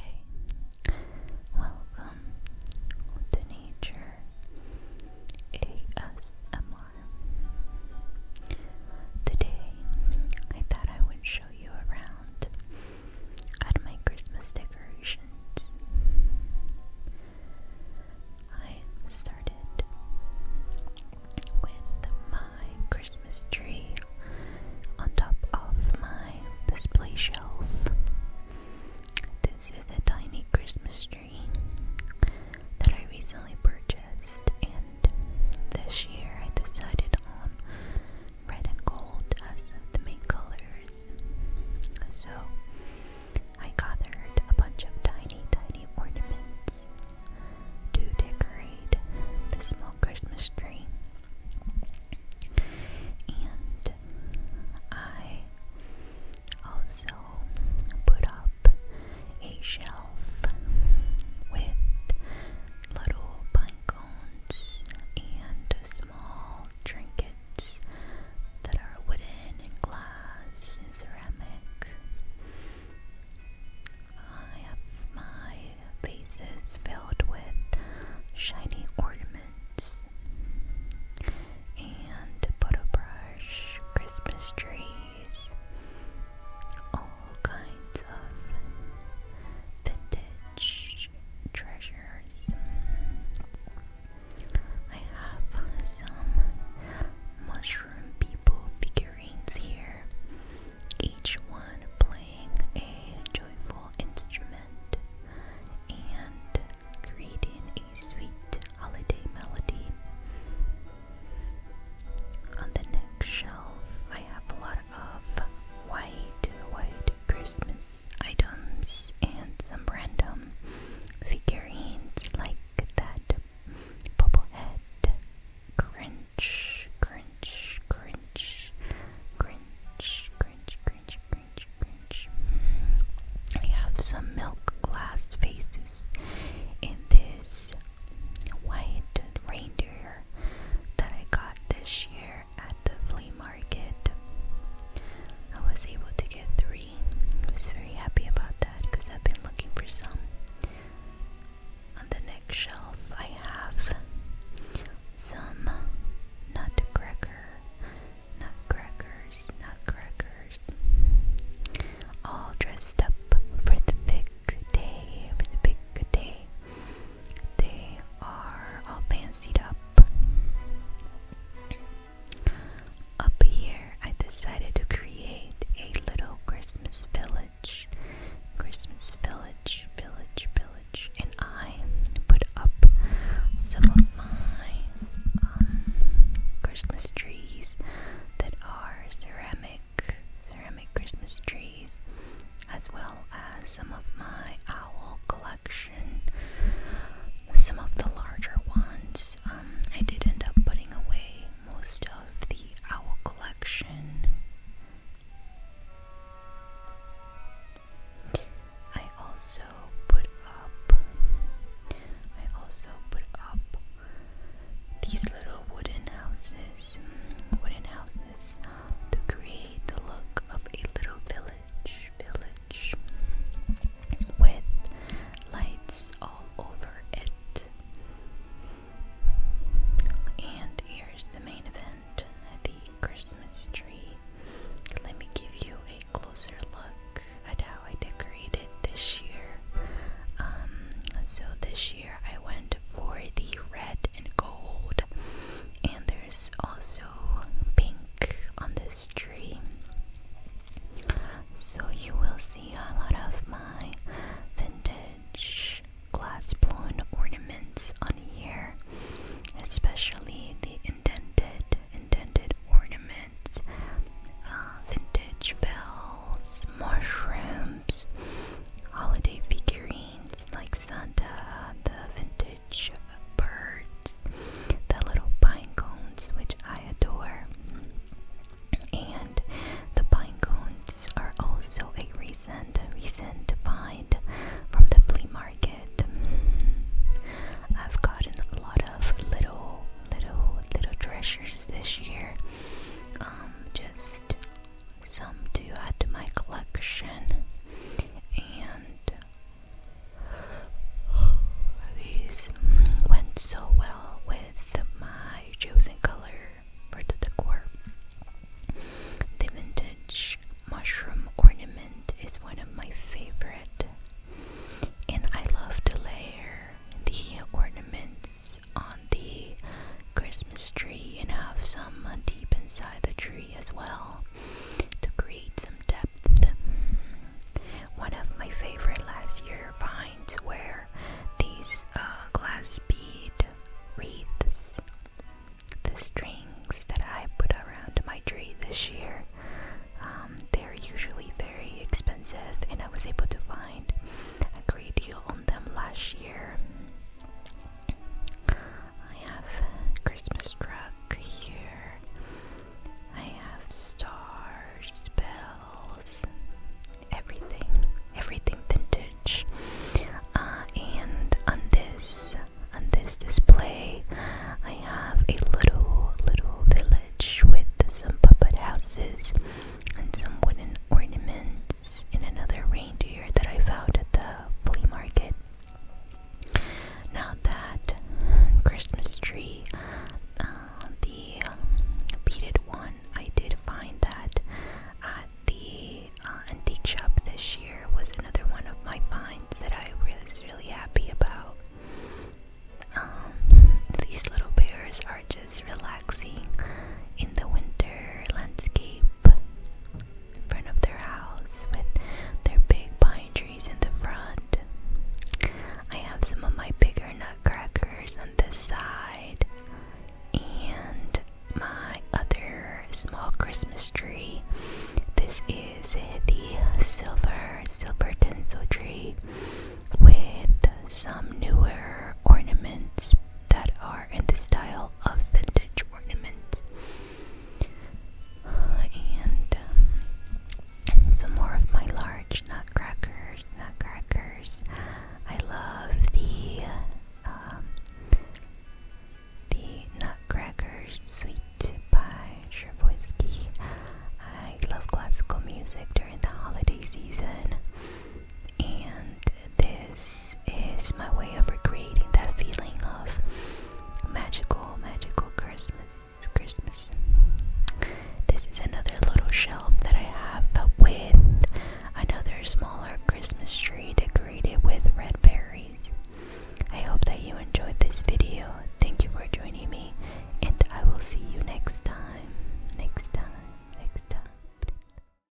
Okay, welcome to Nature ASMR. Today, I thought I would show you around at my Christmas decorations. I started with my Christmas tree on top of my display shelf. This is a tiny Christmas tree that I recently purchased, and this year I decided on red and gold as the main colors. So I gathered a bunch of tiny, tiny ornaments to decorate carried the small Christmas tree, and I also put up a shelf with little pine cones and small trinkets that are wooden and glass and ceramic. I have my vases filled with shiny ornaments and photo brush, Christmas trees, all kinds of vintage treasures. I have some mushroom people figurines here each one playing a joyful instrument and creating a sweet holiday melody. On the next shelf, I have a lot of white, white Christmas items and some random figurines like that Bubblehead, Grinch, Grinch, Grinch, Grinch, Grinch, Grinch, Grinch, Grinch. We have some milk glass faces in this white reindeer that I got this year at the flea market. I was able to get three. I was very happy about that because I've been looking for some on the next shelf I have some nutcracker, nutcrackers, nutcrackers, all dressed up for the big day, for the big day. They are all fancied up. Up here, I decided to create a little Christmas village. Christmas village, village, village. And I put up some of my um, Christmas trees that are ceramic, ceramic Christmas trees, as well as some of my owl collection. Some of the larger ones um, I did end up putting away most of the owl collection. I also put up I also put up these little wooden houses wooden houses to create the look of a little village village with lights over it. And here's the main event the Christmas tree. Let me give you a closer look at how I decorated this year. Um, so, this year I went for the red and gold, and there's also pink on this so you will see a lot of my vintage glass blown ornaments on here, especially the indented indented ornaments, uh, vintage bells, mushrooms, holiday figurines like Santa, the vintage birds, the little pine cones, which I adore. And the pine cones are also a recent, recent find from the flea market. I've gotten a lot of little, little, little treasures this year. Um, just some to add to my collection, and these went so well with my chosen color for the decor. The vintage mushroom ornament is one of my favorite, and I love to layer the ornaments on the Christmas tree and have some deep inside the tree as well to create some depth. One of my favorite last year finds were these uh, glass bead wreaths. The strings that I put around my tree this year. Um, they're usually very expensive, and I was able to find a great deal on them last year. I have Christmas truck here. I have stars, bells, everything, everything vintage. Uh, and on this, on this display, I have a little, little village with some puppet houses and some wooden ornaments, and another reindeer that I found at the flea market. Now that Christmas tree, uh, the beaded one, I did find that at the uh, antique shop this year was another one of my finds that I was really happy about. Um, these little bears are just relaxing in the winter landscape in front of their house with their big pine trees in the front. I have some of my bigger nutcrackers on this side and my other small Christmas tree. This is the silver, silver tinsel tree with some newer ornaments that are in the style of vintage ornaments and um, some more of my large nutcrackers, nutcrackers. I love the um, the nutcrackers sweet by Sherboisky. I love classical music during the holiday season and this is my way of recreating that feeling of magical, magical Christmas. Christmas. This is another little shelf that I have with another smaller Christmas tree decorated with red berries. I hope that you enjoyed this video. Thank you for joining me, and I will see you next time. Next time. Next time.